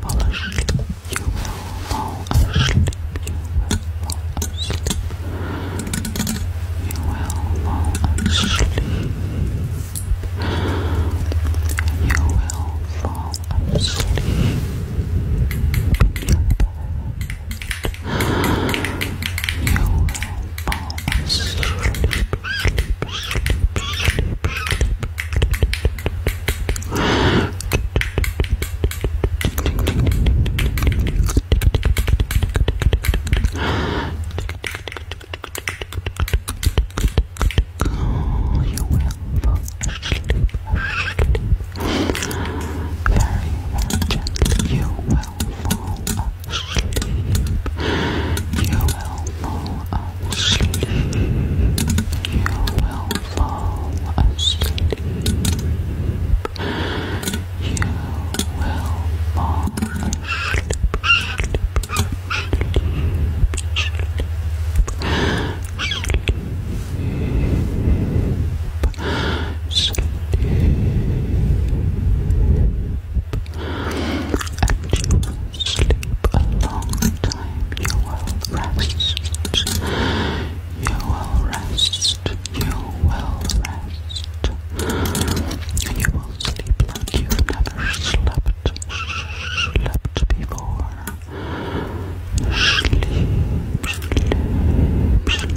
fall asleep. You will fall asleep. You will fall asleep. You will fall asleep. You will fall asleep. You will fall asleep, Very, very gently, you will fall sleep. You will fall asleep. You will fall asleep. You will fall asleep and you will sleep a long time. You will rest. You will rest. You will rest. You will sleep like you never slept, slept before. sleep. Sleep, sleep,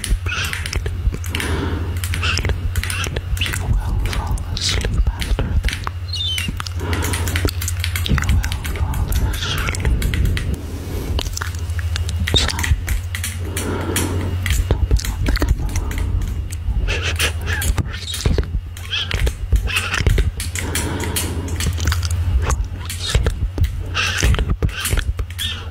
sleep, sleep. You will fall asleep after this. You will fall asleep. So, stopping on the camera. sleep, sleep, sleep. Sleep, sleep, sleep.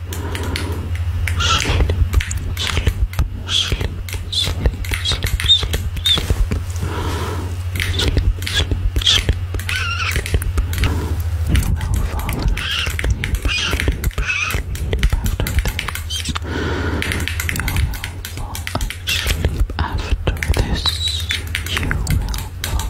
Sleep, sleep, sleep, sleep, sleep, sleep, sleep. Sleep, sleep, sleep, You will fall asleep, after this. You will fall asleep after this. You will fall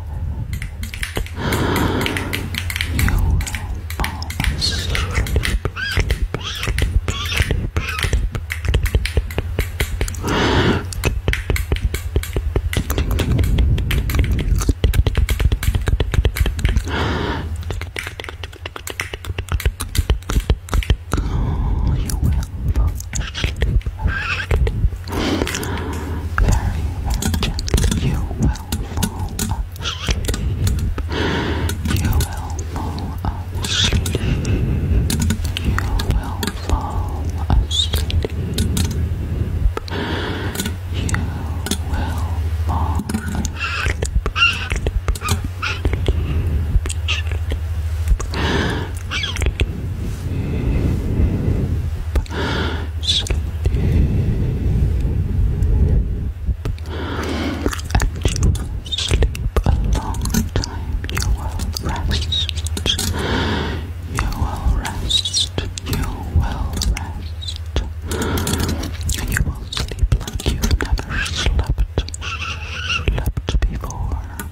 bed. You will fall asleep, sleep, sleep, sleep, sleep. You will fall very, very gently, you will fall asleep. You will fall asleep. You will fall asleep. You will fall asleep sleep, and you will sleep a long time. You will rest. You will rest. You will rest. You will sleep like you've never slept, slept before.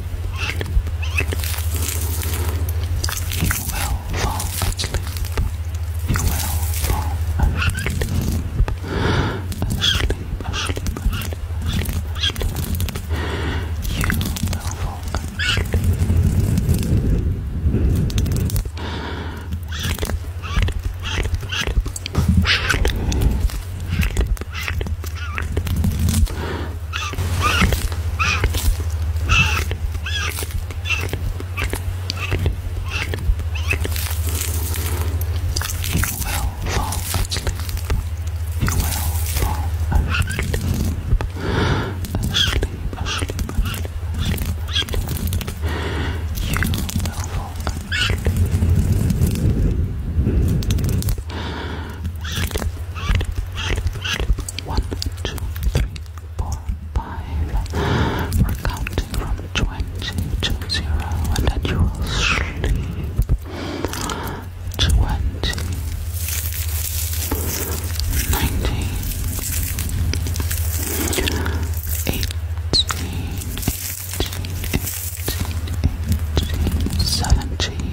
You will fall asleep. You will fall asleep. Asleep, asleep, asleep, asleep, asleep. You will fall asleep. You will fall asleep. You will fall asleep. Asleep, asleep, asleep, asleep, asleep. You will fall asleep. One, two, three, four, five. We're counting from twenty to zero, and then you will sleep. Twenty, ninety, eighteen, eighteen, eighteen, eighteen, seventeen.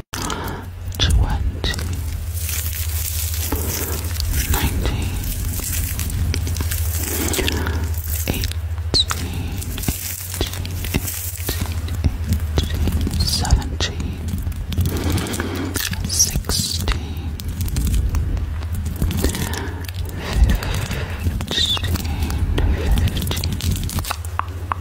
twenty, nineteen, eighteen, eighteen, eighteen, seventeen, sixteen, fifteen, fifteen. 14 13 12 11 10 9 8 7 6 5 4 3 2 1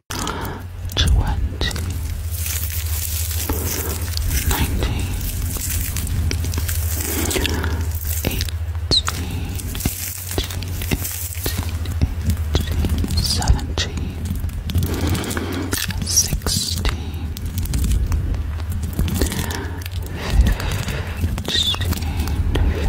twenty, nineteen, eighteen, eighteen, eighteen, seventeen, sixteen, fifteen, fifteen. 14, 13, 12, 11,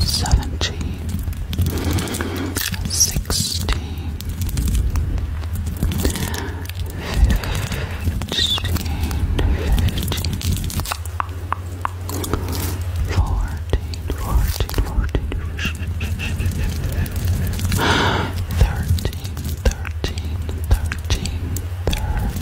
seventeen, sixteen, fifteen, fifteen, fourteen, fourteen, fourteen, thirteen, thirteen, thirteen, thirteen.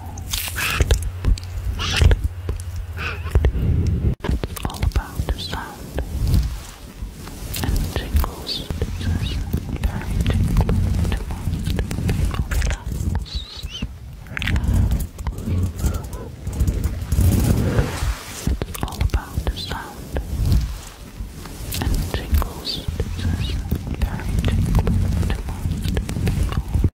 Sleep, sleep, It's all about the sound and tingles. It's very tingly to most people. It's all about the sound and tingles. It's very tingly to most